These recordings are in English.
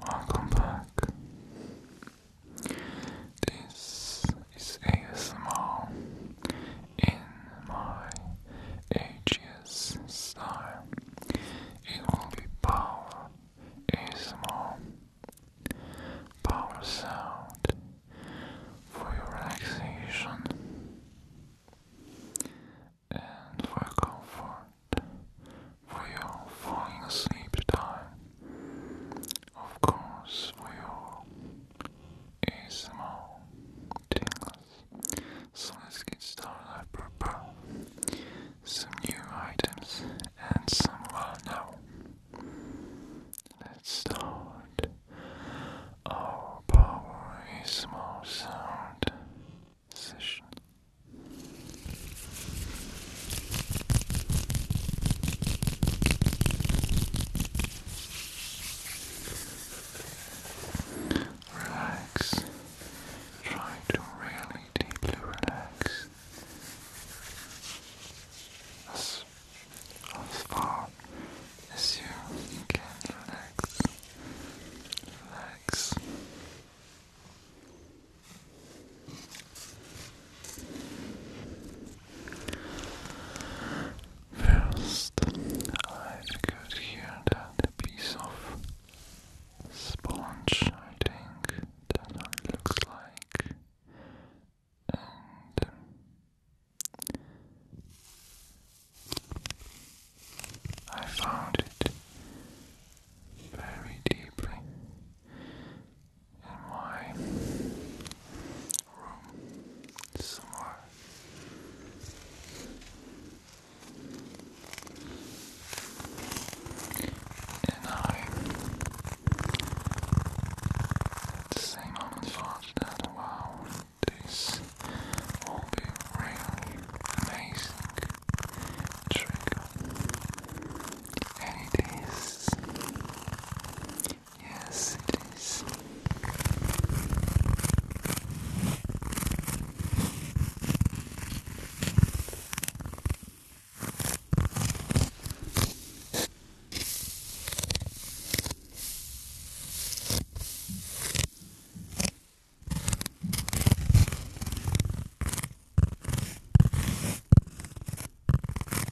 Welcome back. This is ASMR in my Aegis star. It will be power ASMR, power sound for your relaxation and for your comfort, for your falling asleep time, of course for your ASMR tingles. So let's get started. I prepared some new items and some well Let's start our power sound session. Relax. Try to really deeply relax. As, far as you can Relax. First, I could hear that piece of sponge, I think, that looks like, and I found it very deeply in my and I, at the same moment, thought that wow, this will be really amazing trick. And it is. Yes, it is.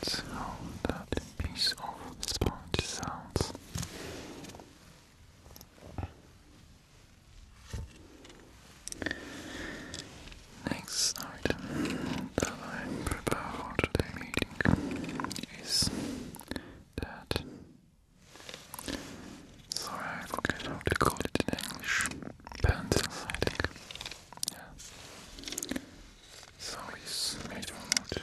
That's how that piece of sponge sounds. Next item that I prepare for today meeting is Sorry, I forget how to call it in English. Pencils, I think. Yeah. So it's made from wood.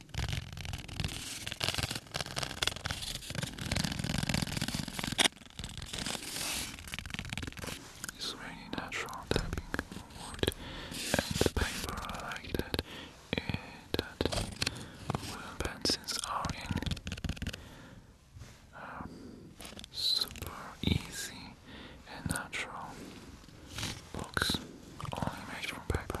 It's really natural tapping wood and paper. like that. It, that wooden pencils are in um, super easy and natural box only made from paper.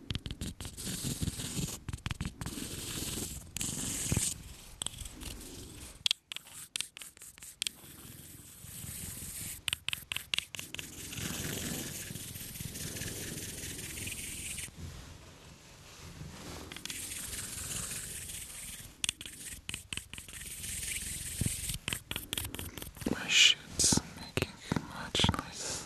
My shit's making much noise.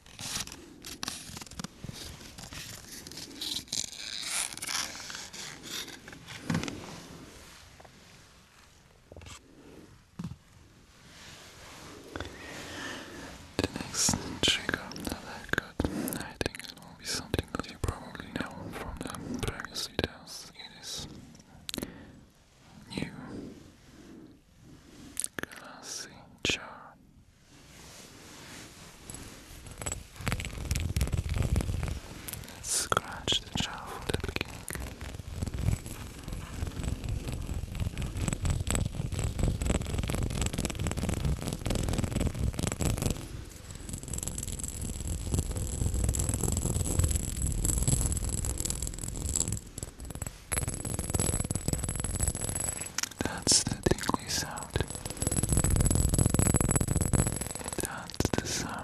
The next trigger that I got, I think will be something that you probably know from the previous videos. It is new glassy jar. Scratch the child at the king. That's the tingly sound. That's the sound.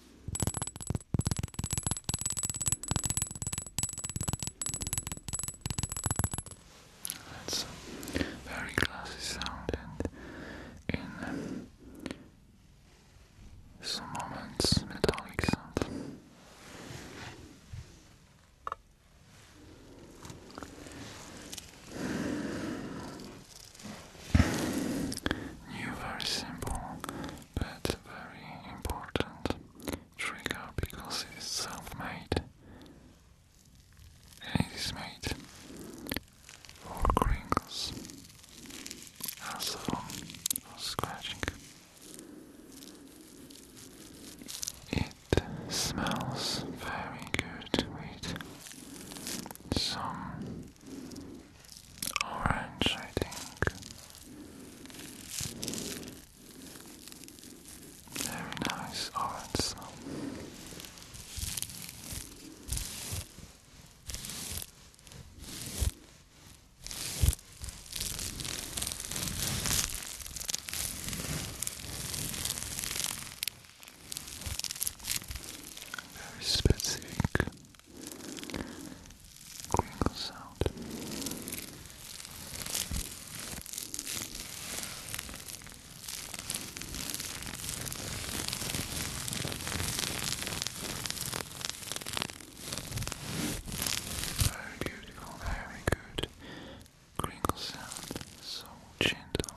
That's a very classy sound, and in some moments, metallic sound. New, very simple but very important trigger because it is self-made. And it is made for crinkles, also for scratching. It smells very good with some orange, I think. Very nice orange very specific crinkle sound. Very beautiful, very good crinkle sound, so gentle.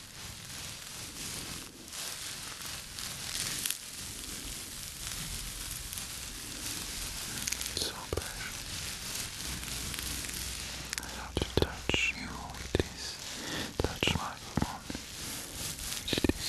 It's so pleasure. I love to touch you with this touch microphone. With this.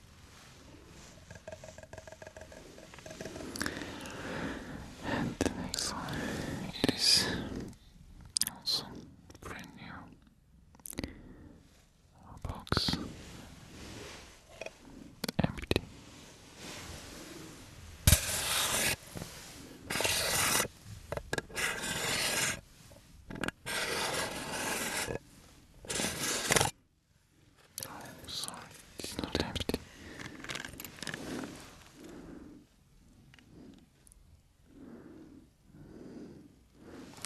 And the next one it is also brand new box empty. Oh, sorry, it's not empty.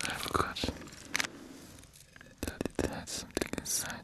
I forgot that it had something inside.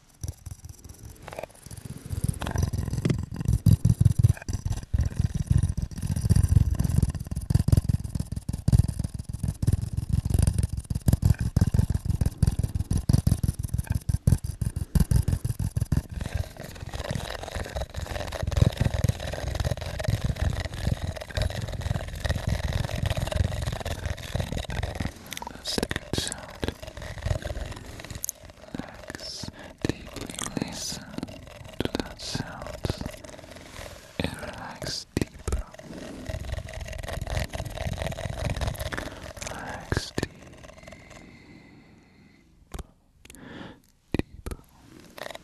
That's a good sound. Relax, deeply listen to that sound and relax deeper. Relax deep, deeper. Relax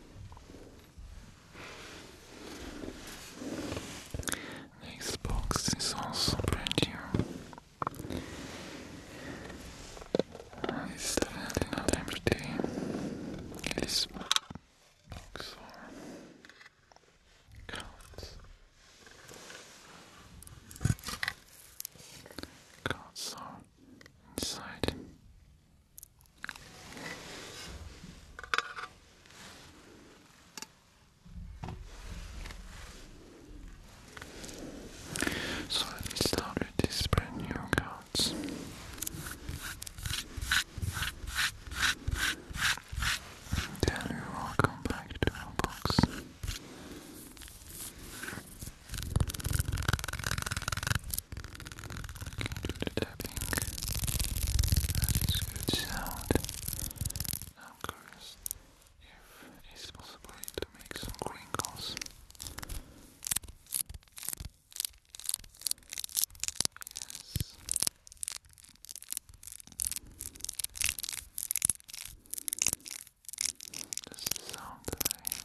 Next box is also brand new. It's definitely not empty. It is box for cards. Cards are inside. So let me start with this brand new cards. Then welcome back to our box do the good sound. I'm curious if it's possible to make some crinkles. Yes. the sound that I would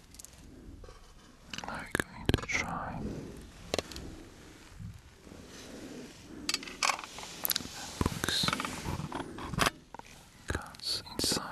I'm going to try books cards inside.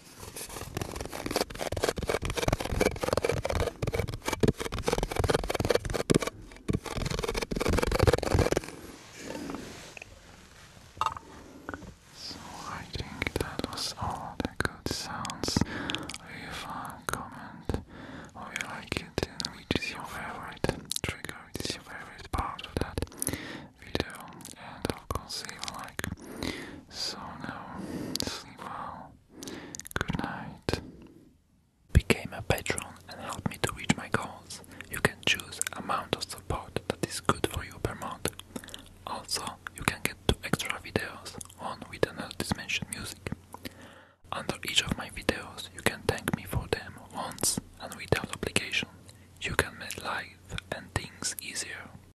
So I think that was all the good sounds. Leave a comment or you like it which is your favorite trigger, which is your favorite part of that video. And of course leave a like, so now, sleep well. Good night. Became a patron and help me to reach my goals. You can choose amount of support that is good for you per month. Also, you can get two extra videos, one with another music. Under each of my videos, you can thank me for them once and without obligation. You can make life and things easier.